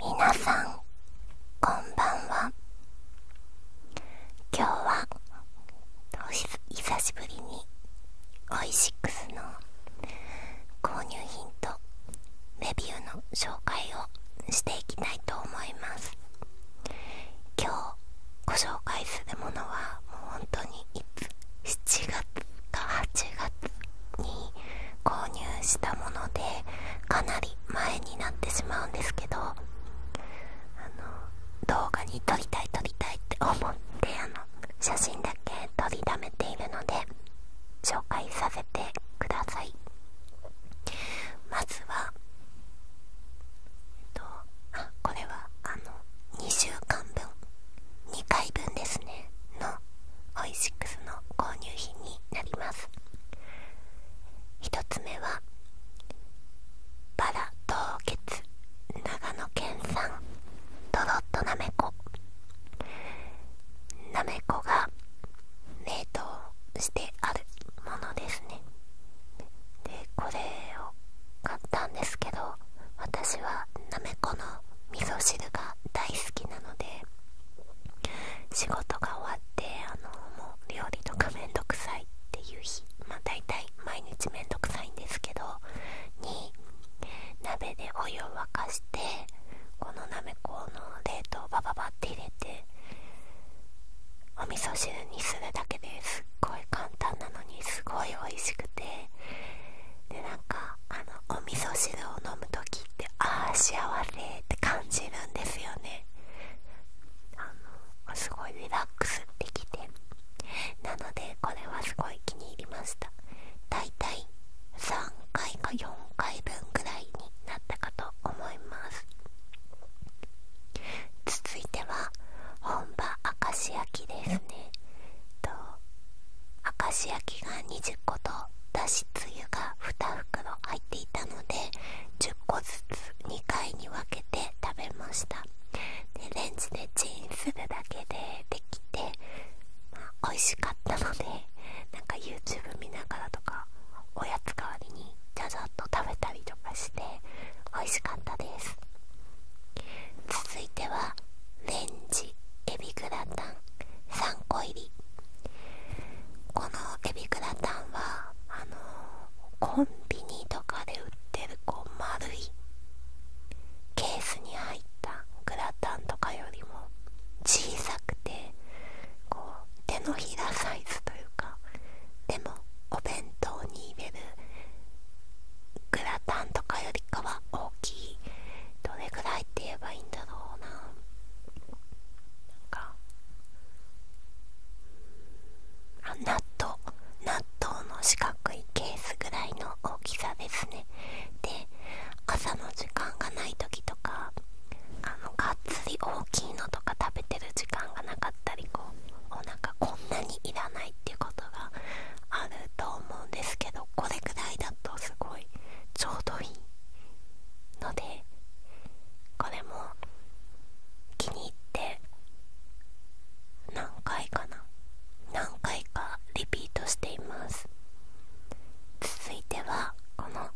皆さんこんばんは今日は久しぶりにオイシックスの購入品とレビューの紹介をしていきたいと思います今日ご紹介するものはもう本当にいつ7月か8月に購入したものでかなり前になってしまうんですけど動画に撮りたい撮りたいって思ってあの写真だけ撮りだめているので紹介させてくださいまずはこれはあの2週間分2回分ですねのオイシックスの購入品になります1つ目はバラ凍結長野県産とろっとなめこなめこが冷凍してあるものですねでこれを買ったんですけど私はなめこの味噌汁が大好きなので仕事が終わってあのもう料理とかめんどくさいっていう日まあ大体毎日めんどくさいんですけどに鍋でお湯を沸かしてこのなめこの冷凍バババって入れてお味噌汁にするだけですっごい簡単なのにすごい美味しくてでなんかあのお味噌汁を飲む時ってああ幸せって感じるんですよねあのすごいリラックスできてなのでこれはすごい気に入りましただいたい3回か4回分くらいになったかと思います続いては本場明石焼きですねと明石焼きが20個とだしつゆが2袋入っていたので10個ずつ2回に分けて食べましたでレンジでチンするだけでできて、まあ、美味しかったのでなんか YouTube 見ながらとかおやつ代わりにじゃじゃっと食べたりとかして美味しかったです続いてはレンジエビグラタン3個入りこのエビグラタンはあのコンビニとかで売ってるこう丸いケースに入ったグラタンとかよりも小さくてこう手のひらサイズというかでもお弁当に入れるグラタンとかよりかは大きどれぐらいって言えばいいんだろうなか納豆納豆の四角いケースぐらいの大きさですねで朝の時間がない時とかあのがっつり大きいのとか食べてる時間がなかったりこうおかこんなにいらないっていうことがあると思うんですけどこれぐらいだとすごいちょうどいいのでこれも気に入って何回かな何回かリピートしています続いてはこの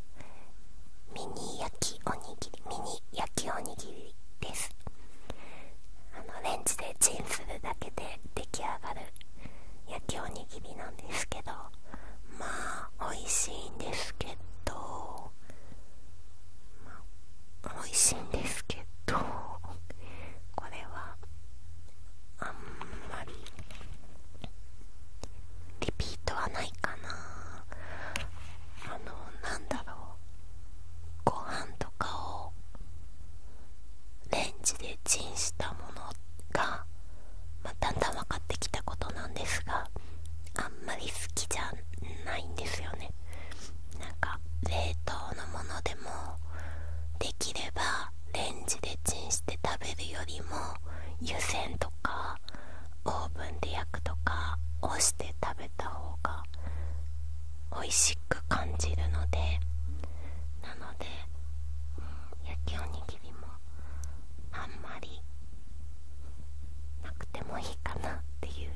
ミニ焼きおにぎりミニ焼きおにぎりですあのレンジでチンするだけで出来上がる焼きおにぎりなんですけどまあ美味しいんですけど、まあ、美味しいんですけどこれはあんまりリピートはないかなあのなんだろうご飯とかをレンジでチンしたものが、まあ、だんだん分かってきたことなんですがあんまり好きじゃないんですよねなんか冷凍のものでもできればレンジでチンして食べるよりも湯煎とかオーブンで焼くとか押して食べた方が美味しく感じるのでなので焼きおにあんまりなくてもいいかなっていう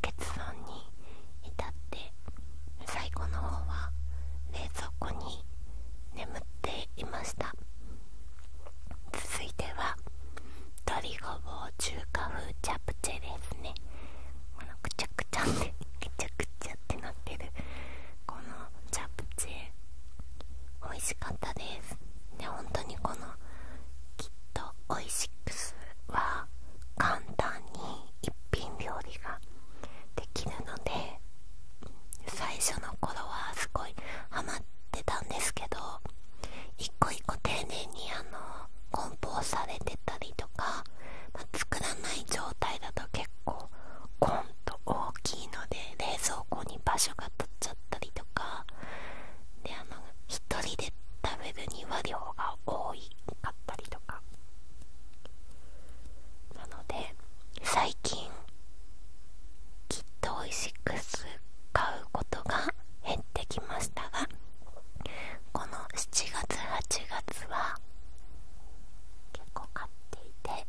結論に至って最後の方は冷蔵庫に眠っていました続いては鶏ごぼう中華風チャプチェですねこのくちゃくちゃってくちゃくちゃってなってるこのチャプチェ美味しかったですで本当にこのきっとオイシックスは簡単に一品料理ができるので最初の頃はすごいハマってたんですけど一個一個丁寧にあの梱包されてたりとか、ま作らない状態だと結構コンと大きいので冷蔵庫に場所が取っちゃったりとかであの一人で食べるには量が多いかったりとかなので最近きっとオイシックス買うことが減ってきましたがこの7月8月は結構買っっ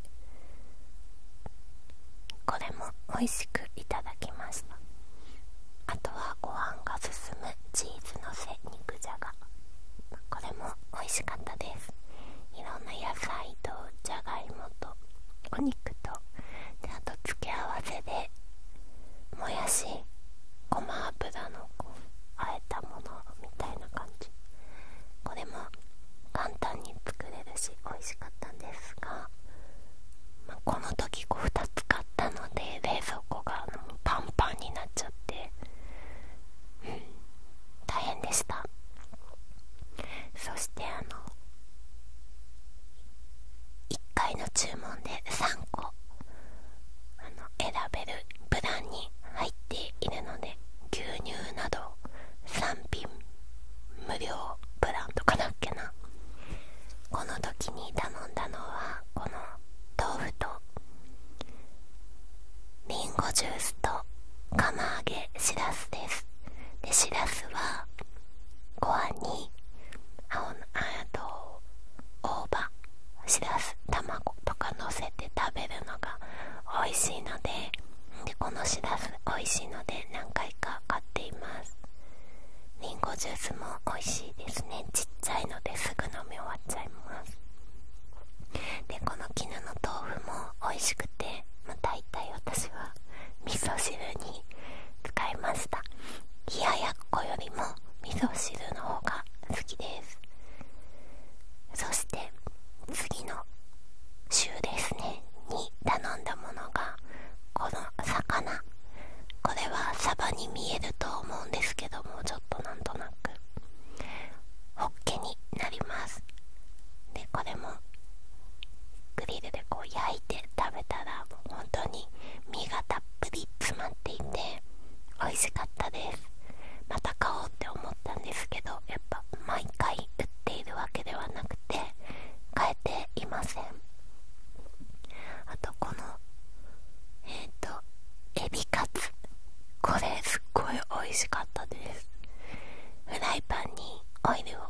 これも美味しくいただきましたあとはご飯が進むチーズのせ肉じゃがこれも美味しかったですいろんな野菜とじゃがいもとお肉とであと付け合わせでもやしごま油のこうあえたものみたいな感じこれも簡単に作れるし美味しかったんですが、この時こう2つ買ったので冷蔵庫がパンパンになっちゃって、大変でしたそしてあの1回の注文で3個選べるプランに入ているので牛乳など3品無料プランとかだっけなこの時に頼んだのはこの豆腐とりんごジュースと釜揚げしらすですでしらすはご飯に青のあと大葉しらす卵とかのせて食べるのが美味しいのででこのシラフ美味しいので何回か買っていますりんごジュースも美味しいですねちっちゃいのですぐ飲み終わっちゃいますでこの絹の豆腐も美味しくてまあ大体私は味噌汁に使いました冷ややっこよりも味噌汁の方が好きですそして次の週ですねに頼んだものがこの魚これはサバに見えると思うんですけどもちょっとなんとなくホッケになりますでこれもグリルでこう焼いて食べたらもう本当に身がたっぷり詰まっていて美味しかったですたんですけどやっぱ毎回打っているわけではなくて変えていませんあとこのえっ、とエビカツこれすっごい美味しかったですフライパンにオイルを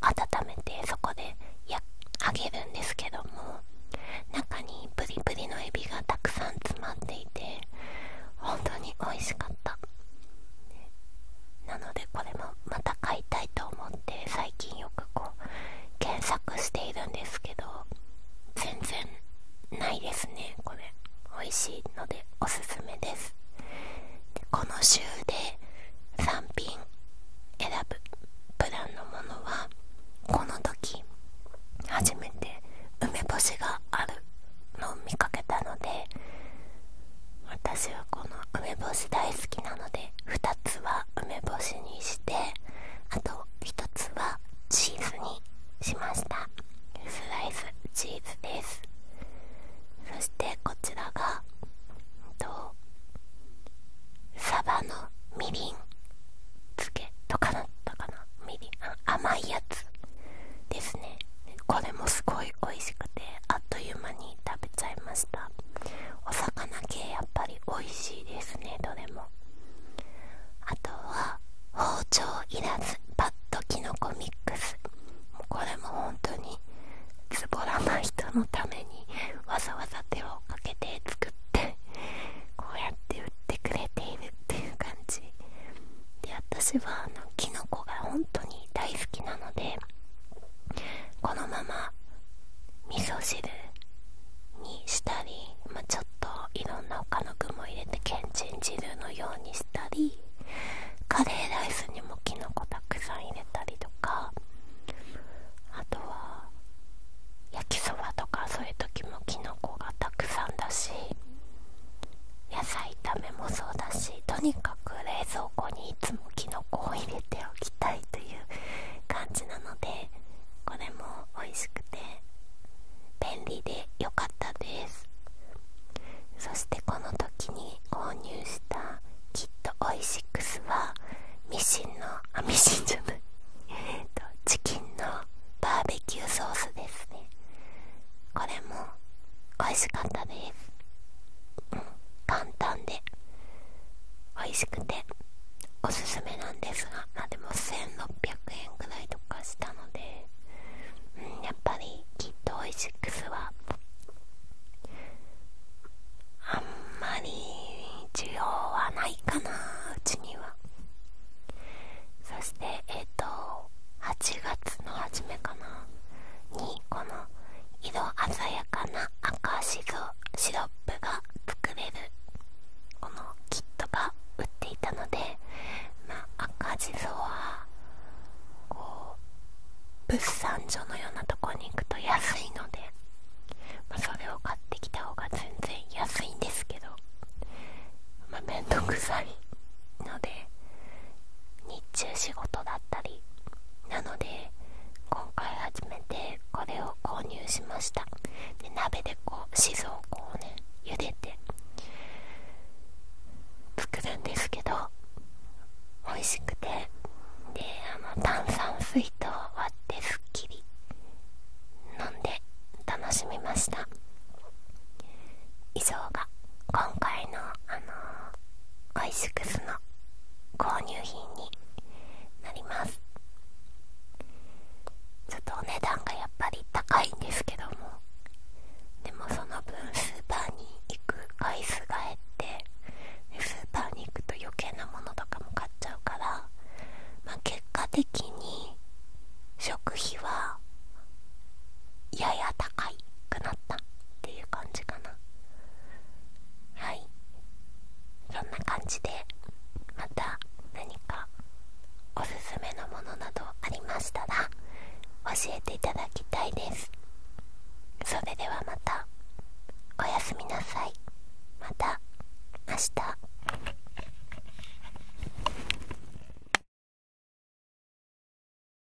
温めてそこでや揚げるんですけども中にプリプリのエビがたくさん詰まっていて本当に美味しかったなのでこれもまた買いたいと思って最近よくこう検索しているんですけど全然ないですねこれ美味しいのでおすすめですこの週で3品選ぶプランのものはこの時初めて梅干しがあるのを見かけたので私はこの梅干し大好きなので2つは梅干しにしてあと1つはチーズにしましたスライスチーズですそしてこちらがとサバのみりん漬けとかだっかな甘いやつですねこれもすごい美味しくてあっという間に食べちゃいましたお魚系やっぱり美味しいですねどれもあとは包丁いらずパッときのこミックスこれも本当にズボらない人のためにわざわざ手をかけて作ってこうやって売ってくれているっていう感じで私はあのキノコが本当に大好きなのでこのまま味噌汁にしたり、まちょっといろんな他の具も入れてけんちん汁のようにしたりカレーライスにもきのこたくさん入れたりとかあとは焼きそばとかそういう時もきのこがたくさんだし野菜炒めもそうだしとにかく冷蔵庫にいつもキノコを入れておきたいという感じなのでこれも美味しくて便利で良かったですそしてこの時に購入したキットオイシックスはミシンのあミシンじゃないチキンのバーベキューソースですねこれも美味しかったです、うん、簡単で美味しくておすすめなんですがまでも1600円くらいとかしたので、うん、やっぱりきっとオイシックスはあんまり需要はないかなうちにはそしてえっ、と8月の初めかなにこの色鮮やかな赤シシロップが作れるこのキットが売っていたので、ま赤地蔵はこう物産所のようなとこに行くと安いので、それを買ってきた方が全然安いんですけどまあ面倒くさいので日中仕事だったりなので今回初めてこれを購入しましたで鍋でこう静岡をね茹でて作るんですけど美味しくてであの炭酸水と割ってすっきり飲んで楽しみました以上が今回のあのー、イシックスの購入品になりますちょっとお値段がやっぱり高いんですけどもでもその分スーパーに行く回数が減ってスーパーに行くと余計なものとかも買っちゃうから、まあ、結果的に食費はやや高くなったっていう感じかなはいそんな感じでまた何かおすすめのものなどありましたら教えていただきたいですそれではまたおやすみなさいまた明日